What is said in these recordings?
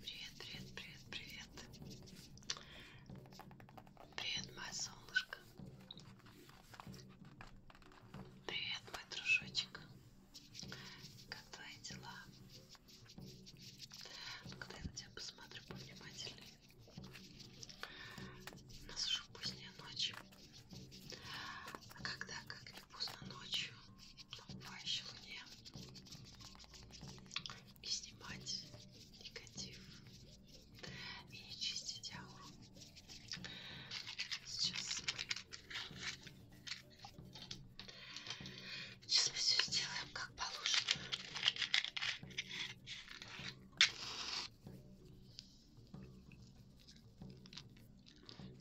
Привет, привет, привет, привет. Привет, мое солнышко. Привет, мой дружочек. Как твои дела? Когда я на тебя посмотрю повнимательнее. У нас уже поздняя ночь. А когда как не поздно ночью, толпающей луне и снимать негатив и не чистить ауру. Сейчас мы, Сейчас мы все сделаем как положено.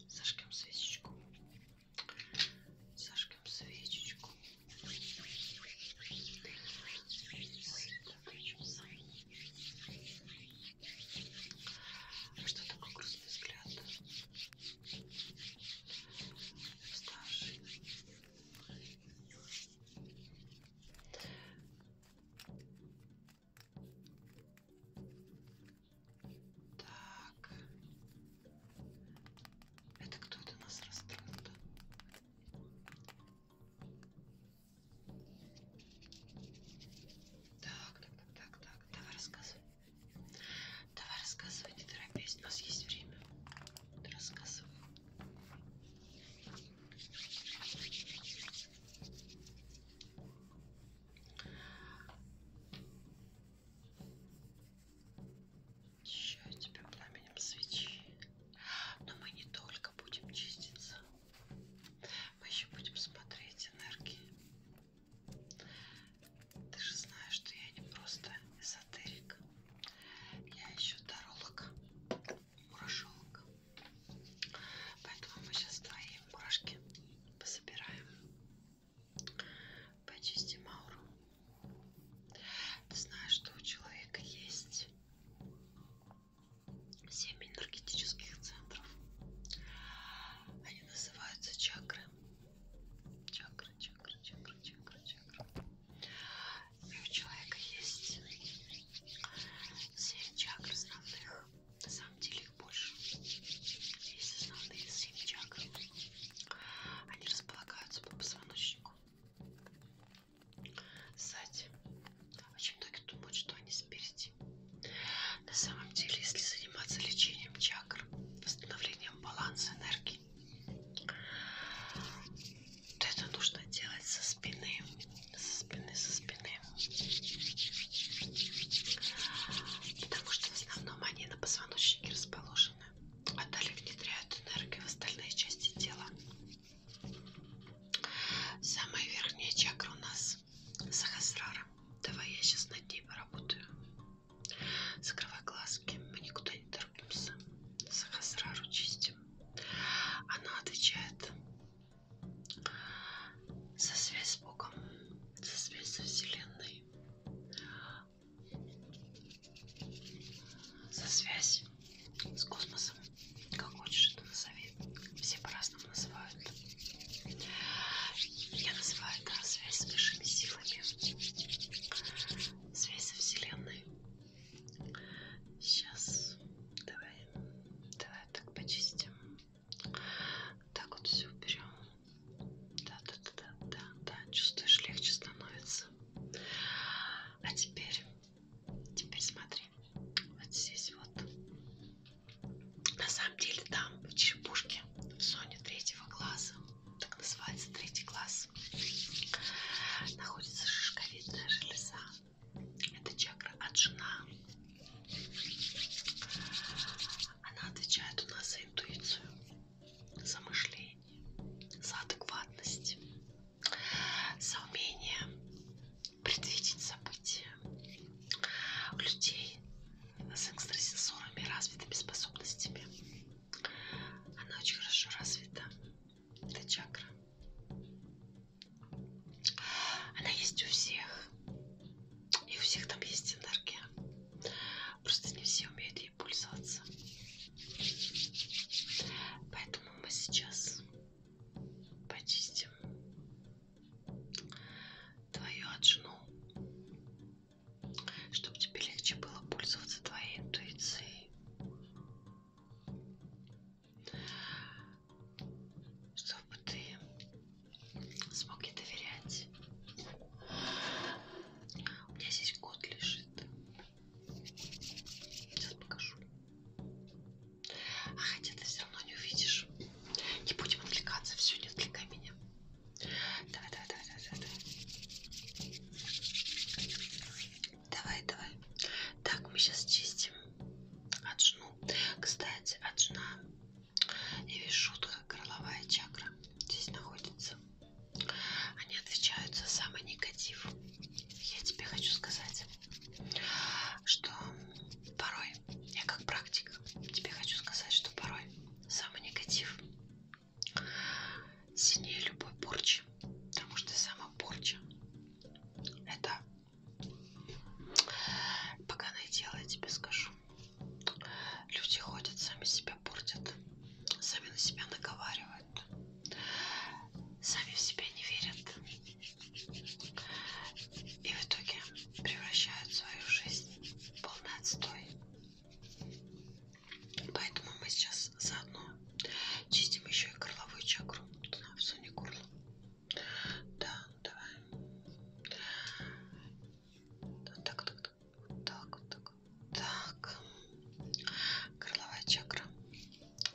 Зажгем свечечку. Зажгем свечечку. Что такое грустный взгляд? Старший. Так. Это кто-то нас расстроил. Так, так, так, так, так. Давай рассказывай. Давай рассказывай, не торопись. У нас есть время. Рассказывай. Очищаю тебя пламенем свечи. Но мы не только будем чиститься, мы еще будем смотреть энергии. Ты же знаешь, что я не просто эзотерик. Я еще таролог, мурашолог. Поэтому мы сейчас твои мурашки пособираем. Почисти Мауру. Ты знаешь, что у человека есть семь энергетических центров. Они называются чакры. Чакры, чакры, чакры, чакры, чакры. И у человека есть семь чакр основных на самом деле их больше. Есть основные 7 чакр. Они располагаются по позвоночнику. Сзади. Очень многие думают, что они спереди. На самом деле, если заниматься лечением чакр, восстановлением баланса энергии, то это нужно делать со спины, со спины, со спины потому что в основном они на позвоночнике расположены, а далее внедряют энергию в остальные части тела. Самая верхняя чакра у нас Сахасрара. Давай я сейчас над ней поработаю. Закрывай глазки, мы никуда не торопимся. Сахасрару чистим. Она отвечает за связь с Богом, за связь со Вселенной, за связь с космосом, как хочешь это назови. Все по-разному называют. Я называю это да, связь с высшими силами, связь со Вселенной. Сейчас давай, давай так почистим. Так вот все берем. Да, да, да, да, да, да. Чувствуешь, легче становится. А теперь, теперь смотри, вот здесь вот. На самом деле там в черепушке, в зоне третьего глаза, так называется третий глаз, находится шишковидная железа. Это чакра Аджна. Она отвечает у нас за интуицию, за мышление, за адекватность, за умение предвидеть события. У людей с экстрасенсорами развитыми способностями. Она очень хорошо развита. Это чакра. Она есть у всех. И у всех там есть энергия. Просто не все умеют ей пользоваться. Поэтому мы сейчас почистим твою отжину, чтобы тебе легче было пользоваться твоей интуицией. Чтобы ты смог ей доверять. У меня здесь кот лежит. Сейчас покажу. А хотя ты все равно не увидишь. Не будем отвлекаться, все, не отвлекай меня. Давай, давай, давай, давай, давай. Давай, давай. Так, мы сейчас чистим отжну. Кстати, отжна и вишутха, горловая чакра здесь находится. Они отвечают за самый негатив. Я тебе хочу сказать, что порой, я как практик, тебе хочу сказать, что порой самый негатив сильнее любой порчи. Потому что сама порча это Поганое дело, я тебе скажу. Люди ходят, сами себя портят, сами на себя наговаривают, сами в себя не верят. И в итоге превращают свою жизнь в полный отстой. Поэтому мы сейчас заодно чистим еще и горловую чакру. Сунь горло. Да, ну давай. Так, так, так, так, так, так. Крыловая чакра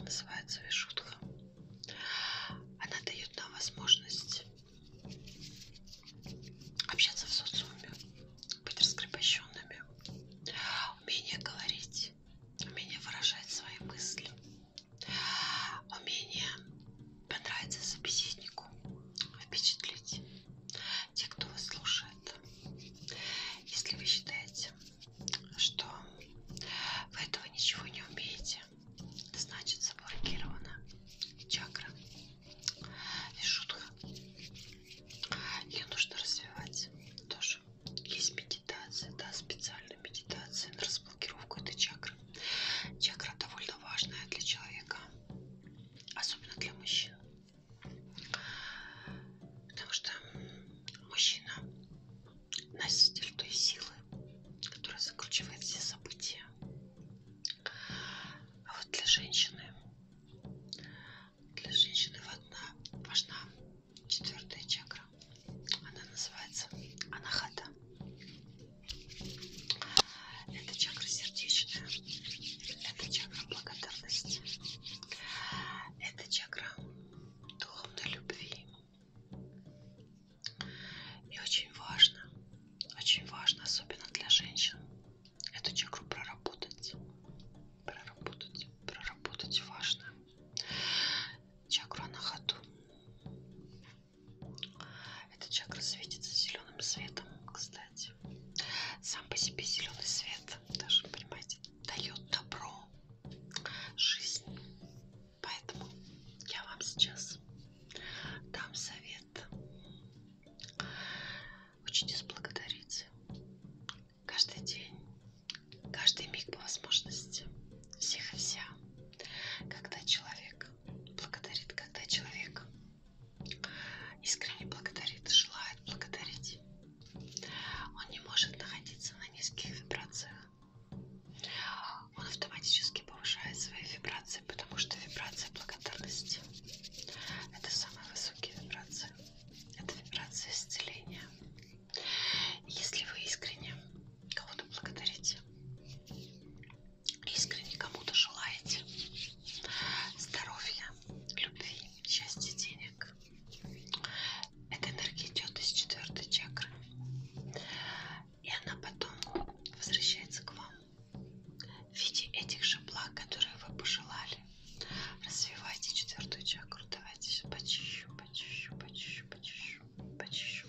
называется вишутха. Она дает нам возможность общаться в социуме, быть раскрепощенными, умение говорить, умение выражать свои мысли, Умение понравиться собеседнику, впечатлить те, кто вас слушает. Если вы считаете, что вы этого ничего не умеете, значит заблокирована чакра и шутка. Ее нужно развивать тоже. Есть медитация, да, специальная медитация на разблокировку этой чакры. Чакра довольно важная для человека, особенно для мужчин. Потому что мужчина носитель той силы, которая закручивает все события. А вот для женщины, для женщины важна, важна четвертая чакра. Она называется анахата. Это чакра сердечная, это чакра благодарности, это чакра духовной любви. И очень важно, очень важно, особенно для женщин, эту чакру проработать. Проработать, проработать важно. Чакра на ходу. Эта чакра светится зеленым светом, кстати. Сам по себе зеленый свет, даже, понимаете, дает добро, жизнь. Поэтому я вам сейчас дам совет. Учитесь благодарить. Каждый день, каждый миг по возможности. Всех и вся когда человек благодарит, когда человек искренне благодарит, желает благодарить, он не может находиться на низких вибрациях. Он автоматически повышает свои вибрации, потому что вибрация благодарности – это самые высокие вибрации. Это вибрация исцеления. Если вы искренне кого-то благодарите, искренне кому-то желаете здоровья, любви, счастья, денег. Эта энергия идет из четвертой чакры, и она потом возвращается к вам в виде этих же благ, которые вы пожелали. Развивайте четвертую чакру. Давайте почищу, почищу, почищу, почищу, почищу.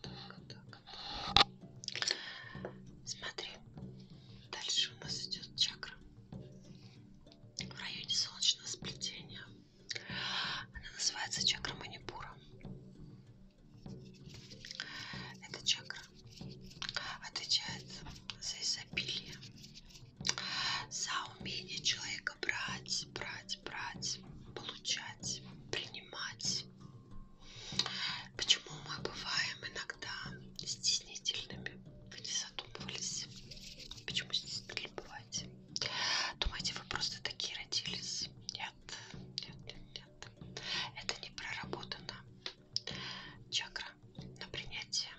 так, так, так. Смотри, дальше у нас идет чакра в районе солнечного сплетения. Она называется чакра Манипура. Эта чакра отвечает за изобилие, за умение человека брать, брать, брать, получать, принимать, Почему мы бываем иногда стеснительными? Вы не задумывались? Почему стеснительными бываете? Думаете, вы просто такие родились? Нет, нет, нет, нет. Это не проработано. Чакра на принятие.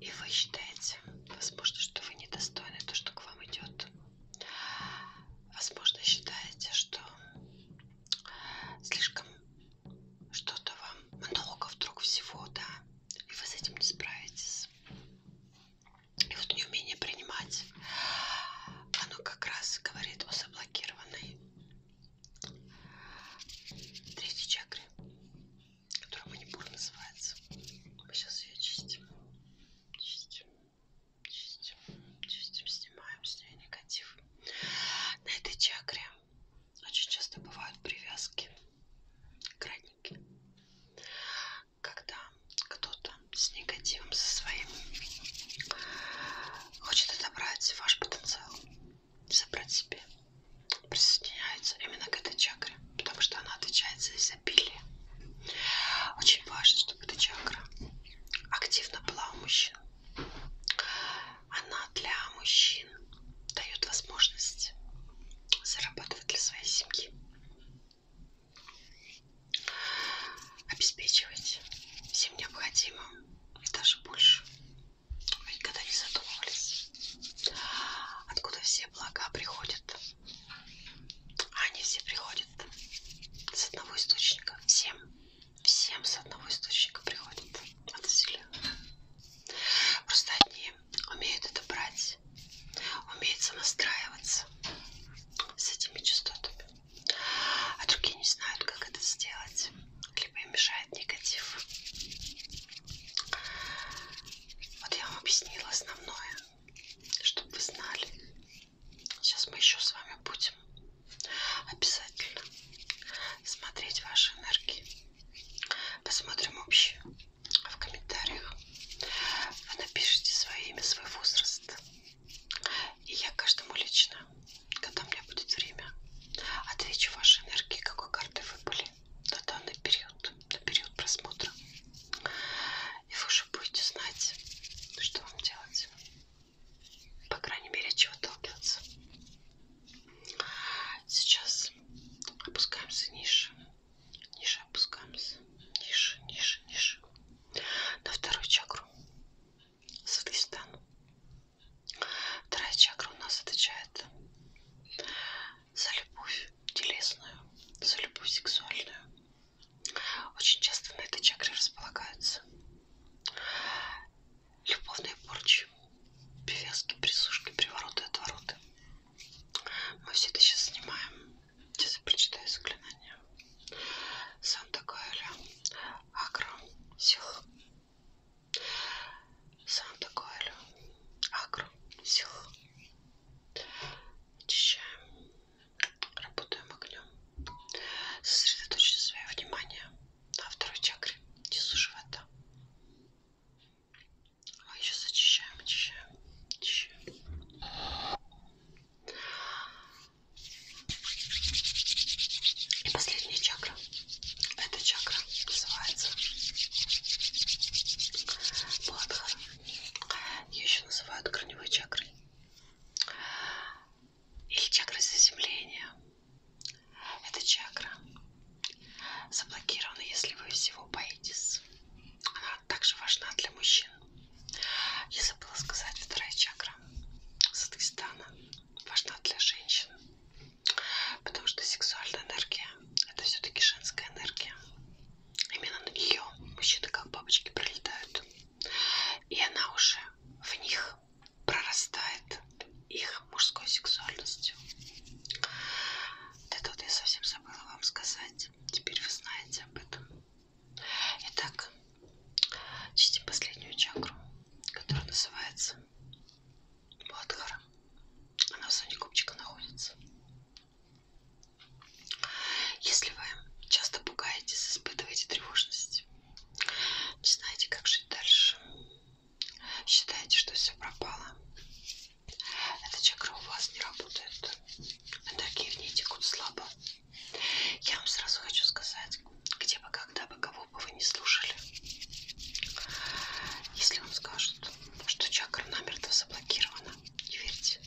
И вы считаете, возможно, что вы недостойны то, что к вам идет. Возможно, считаете, что слишком что-то вам много вдруг всего, да, и вы с этим не справитесь. И вот неумение принимать, оно как раз говорит о заблокированной третьей чакре, которая манипур называется. Мы сейчас ее чистим. Чистим. Чистим, чистим, снимаем с нее негатив. На этой чакре очень часто бывают привязки, краники. Когда кто-то с негативом, со своим, хочет отобрать ваш потенциал, забрать себе, присоединяется именно к этой чакре, потому что она отвечает за изобилие. Очень важно, чтобы эта чакра активно была у мужчин. Она для мужчин дает возможность зарабатывать для своей семьи, обеспечивать всем необходимым и даже больше. Вы никогда не задумывались, откуда все блага приходят. А они все приходят с одного источника. Всем всем с одного источника приходит от вселенной. Просто одни умеют это брать, умеют сонастраиваться с этими частотами, а другие не знают, как это сделать, либо им мешает негатив. Вот я вам объяснила основное, чтобы вы знали, Сейчас мы еще с вами будем обязательно смотреть ваши энергии. Посмотрим общие в комментариях. Вы напишите свое имя, свой возраст. И я каждому лично, когда у меня будет время, отвечу вашей энергии, какой карты вы были на данный период, на период просмотра. И вы уже будете знать, что вам делать. По крайней мере, от чего толкаться. Сейчас опускаемся ниже. Ниже опускаемся. Ниже, ниже, ниже. На вторую чакру. Садхистан. Вторая чакра у нас отвечает за любовь телесную, за любовь сексуальную, очень часто на этой чакре располагаются любовные порчи, привязки, присушки, привороты, отвороты. Мы все это сейчас снимаем. Сейчас я прочитаю заклинание. Санта Коэля, Акро, Сил. Санта Коэля, Акро, Сил. Очищаем. Работаем огнем. Сосредоточьте свое внимание на второй чакре, внизу живота. Мы еще зачищаем, очищаем, очищаем. И последняя чакра. Эта чакра называется Бладхара. Ее еще называют корневой чакрой или чакра заземления. Эта чакра заблокирована, если вы всего боитесь. Она также важна для мужчин. Я забыла сказать, вторая чакра Садхистана важна для женщин, потому что сексуальная энергия – это все-таки женская энергия. Именно на нее мужчины как бабочки прилетают. И она уже в них прорастает их мужской сексуальностью. Да тут я совсем забыла вам сказать. Теперь вы знаете об этом. Итак, чистим последнюю чакру, которая называется Бадхара. Она в зоне копчика находится. Если вы часто пугаетесь, испытываете тревожность, не знаете, как жить дальше, считаете, что все пропало, эта чакра у вас не работает, энергии в ней текут слабо. Я вам сразу хочу сказать, где бы, когда бы, кого бы вы не слушали, если вам скажут, что чакра намертво заблокирована, не верьте.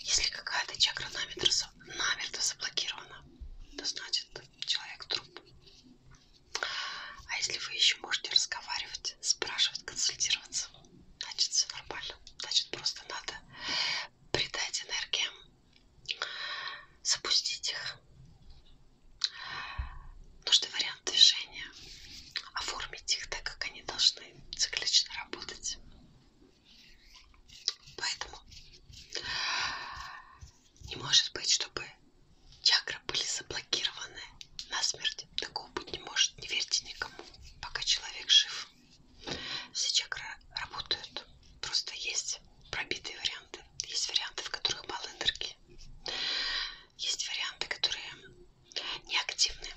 Если какая-то чакра намертво заблокирована, то значит человек труп. А если вы еще можете разговаривать, спрашивать, консультироваться, значит все нормально. Значит просто надо придать энергиям, запустить их. Нужный вариант движения, оформить их так, как они должны циклично работать. Поэтому не может быть, чтобы чакры были заблокированы насмерть. Такого быть не может. Не верьте никому, пока человек жив. Все чакры работают. Просто есть пробитые варианты. Есть варианты, в которых мало энергии. Есть варианты, которые неактивны.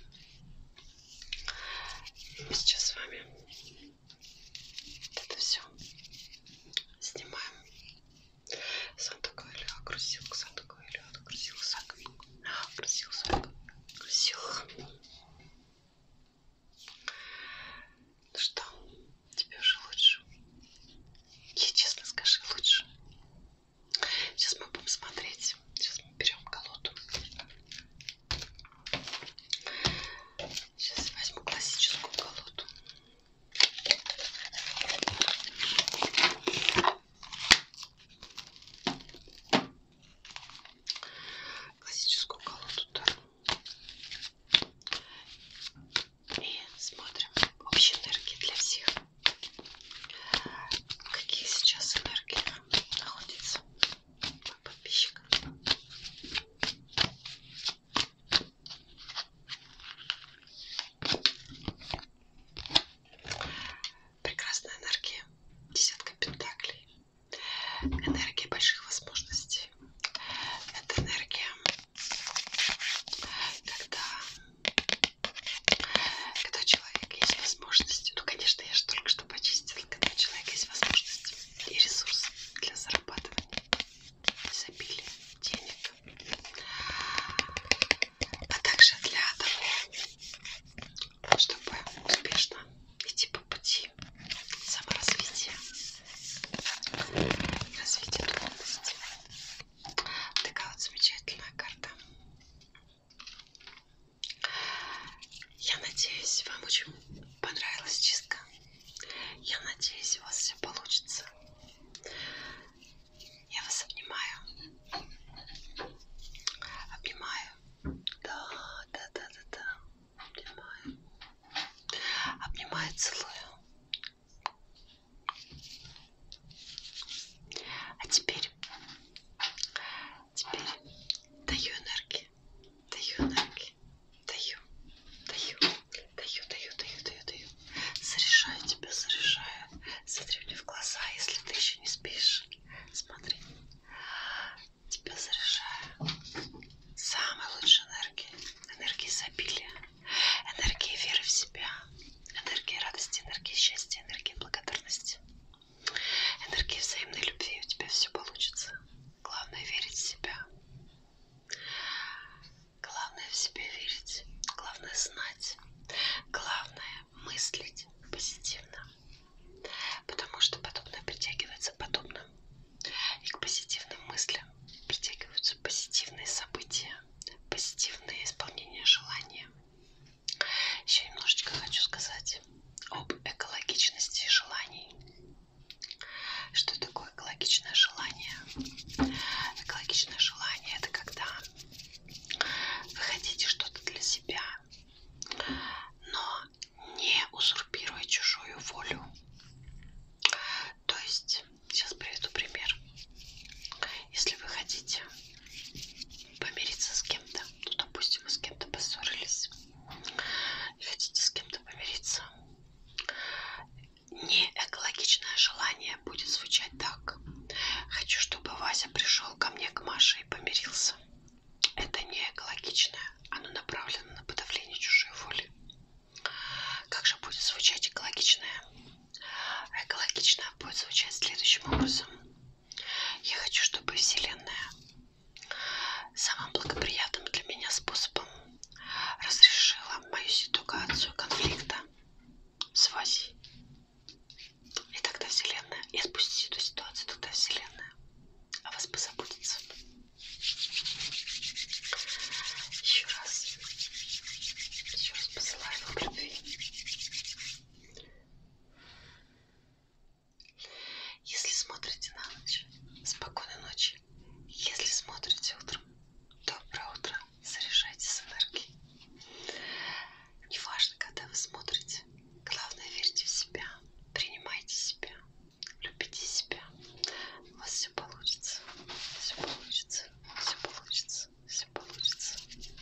Мы сейчас с вами это все снимаем. Садок или окрусил, садок или окрусил, садок, окрусил, садок, окрусил. Ну что, тебе уже лучше? Я честно скажи, лучше. Сейчас мы будем смотреть. Сейчас мы берем колоду. Сейчас возьму классическую колоду. Классическую колоду Таро. И смотрим общие энергии для всех. Какие сейчас энергии находятся подписчикам. Прекрасная энергия, десятка пентаклей, энергия больших возможностей. Это энергия, когда, когда человек есть возможности. Ну, конечно, я же только что почистила, когда у человека есть возможности и ресурсы для зарабатывания, изобилия, денег, а также для того, чтобы успешно идти по пути саморазвития, развития духовности. Такая вот замечательная карта. Я надеюсь, вам очень понравилась чистка. Я надеюсь, у вас все получится. Я вас обнимаю. Обнимаю. Да, да, да, да, да. Обнимаю. Обнимаю, целую. А теперь Теперь даю энергии, даю энергии, даю, даю, даю, даю, даю, даю, даю. Заряжаю тебя, заряжаю. Смотри мне в глаза, если ты еще не спишь. Смотри. Тебя заряжаю. Самой лучшей энергии. Энергии изобилия. Энергии веры в себя. Энергии радости, энергии счастья, энергии благодарности энергии взаимной любви, у тебя все получится. Главное верить в себя. Главное в себя верить. Главное знать. Главное мыслить позитивно. Потому что подобное притягивается подобным. И к позитивным мыслям притягиваются позитивные события, позитивное исполнение желания. Еще немножечко хочу сказать об экологичности желаний. Что такое экологичное желание? Экологичное желание это когда вы хотите что-то для себя, но не узурпируя чужую волю. То есть, сейчас приведу пример. Если вы хотите помириться с кем-то, ну, допустим, вы с кем-то поссорились, и хотите с кем-то помириться, не экологичное желание будет звучать так. Хочу, чтобы Вася пришел ко мне, к Маше и помирился. Это не экологичное, оно направлено на подавление чужой воли. Как же будет звучать экологичное? Экологичное будет звучать следующим образом. Я хочу, чтобы Вселенная самым благоприятным для меня способом разрешила мою ситуацию конфликта с Васей. И тогда Вселенная, и отпустить эту ситуацию, тогда Вселенная о вас позаботится. Еще раз, еще раз посылаю вам любви. Если смотрите на ночь, спокойной ночи. Если смотрите утром, доброе утро. Заряжайтесь энергией. Неважно, когда вы смотрите. Главное, верьте в себя. Принимайте себя. Любите себя. У вас все получится. Все получится. Все получится. Все получится.